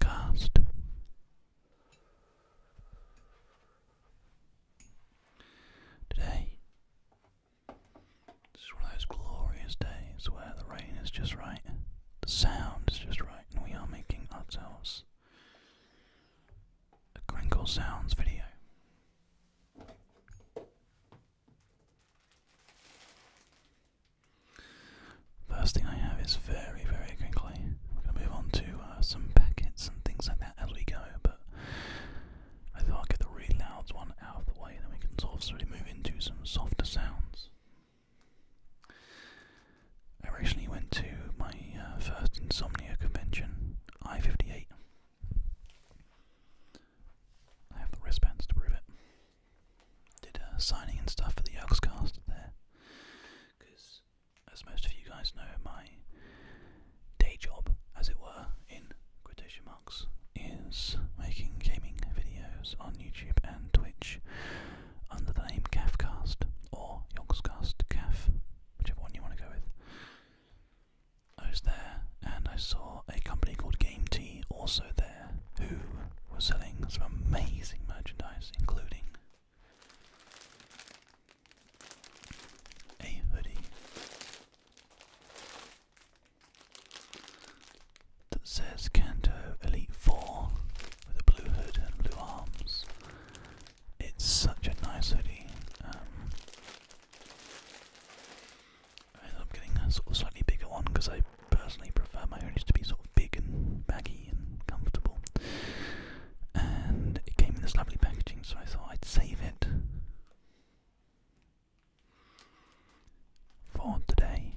Cast. Today is one of those glorious days where the rain is just right, the sound is just right, and we are making ourselves a Crinkle Sounds video. First thing I have is very, very crinkly. We're going to move on to uh, some packets and things like that as we go, but I thought I'd get the really loud one out of the way, then we can sort of really move into some softer sounds. I recently went to my uh, first insomnia convention, I-58. I have the wristbands to prove it. Did signing and stuff for the Yogscast there, because as most of you guys know, my day job, as it were, in quotation marks, is making gaming videos on YouTube and Twitch under the name CAFcast or Yogscast CAF whichever one you want to go with. I was there and I saw a company called Game Tea also there who was selling some amazing merchandise, including a hoodie that says Canto Elite 4 with a blue hood and blue arms it's such a nice hoodie. Um, I am getting a sort of slightly bigger one because I personally prefer my hoodies to be sort of big and baggy and comfortable. And it came in this lovely packaging, so I thought I'd save it for today.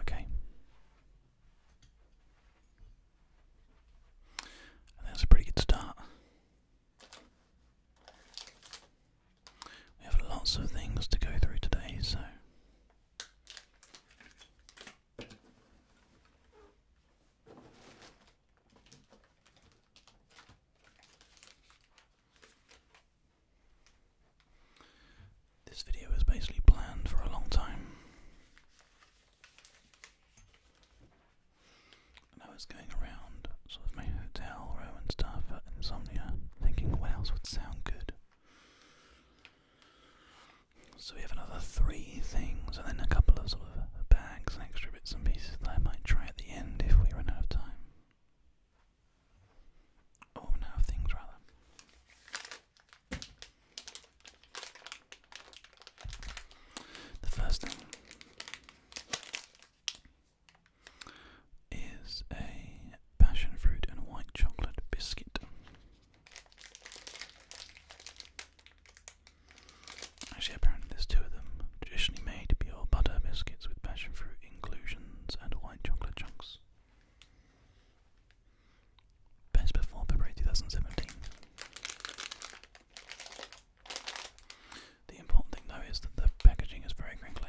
Okay. that's a pretty good start. We have lots of things to go through today, so. This video was basically planned for a long time. I was going around sort of my hotel room and stuff at uh, Insomnia, thinking what else would sound good. So we have another three things, and then a couple of sort of bags and extra bits and pieces that I might try at the end if we run out of time. Oh, now of things rather. The first thing is a passion fruit and white chocolate biscuit. Actually, apparently there's two of them, traditionally made to butter biscuits with passion fruit inclusions and white chocolate chunks. Best before February 2017. The important thing though is that the packaging is very crinkly.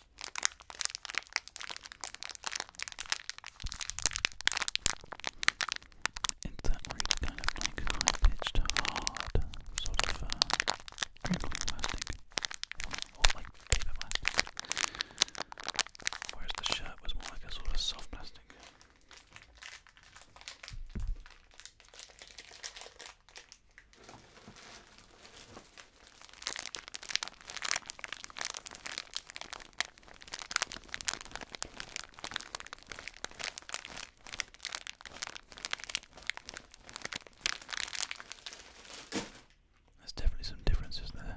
It's that really kind of like high hard sort of uh, plastic, or like paper Whereas the shirt was more like a sort of soft plastic. There's definitely some differences there.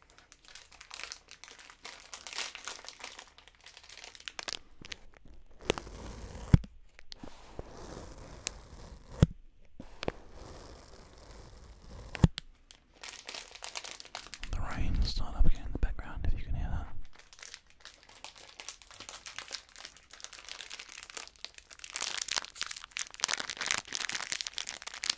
The rain start up again in the background if you can hear that.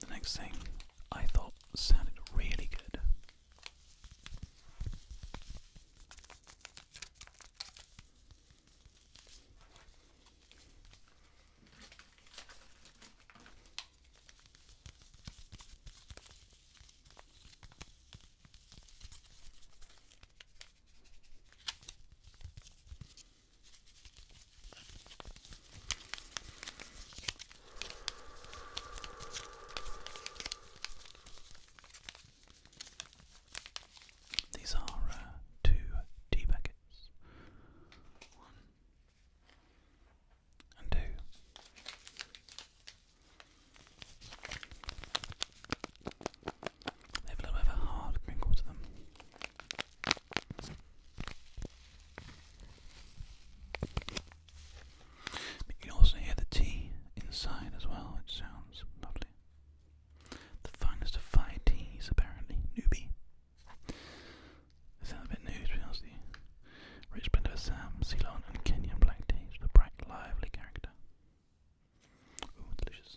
The next thing I thought sounded really good these are uh, two tea packets. One and two. They have a little bit of a hard to them. But you also hear the tea inside as well, which sounds lovely. The finest of five teas, apparently. Newbie. a bit new, to be honest with Rich blend of Assam, Ceylon, and Kenyan black teas with bright, lively character. Ooh, delicious.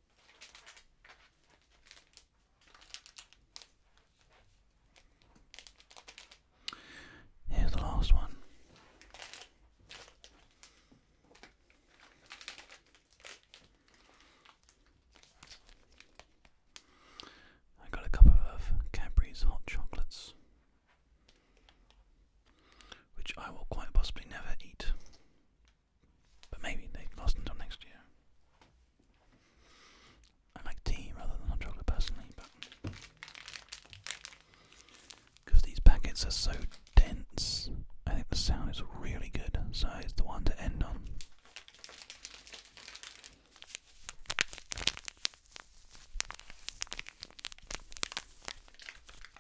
Here's the last one. I got a couple of Cadbury's hot chocolates, which I will quite possibly never eat. But maybe they last until next year. I like tea rather than chocolate personally, but because these packets are so dense, I think the sound is really good. So it's the one to end on.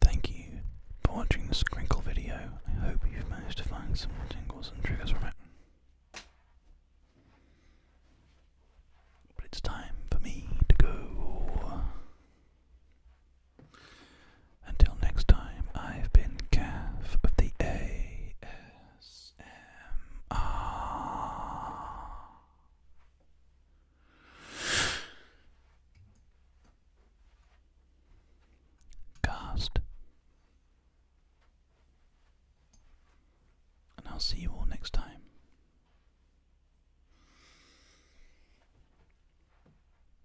Thank you for watching this crinkle video. I hope you've managed to find some more tingles and triggers from it. But it's time for me to go. Until next time, I've been Calf of the AS. Cast. And I'll see you all next time.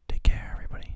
Take care, everybody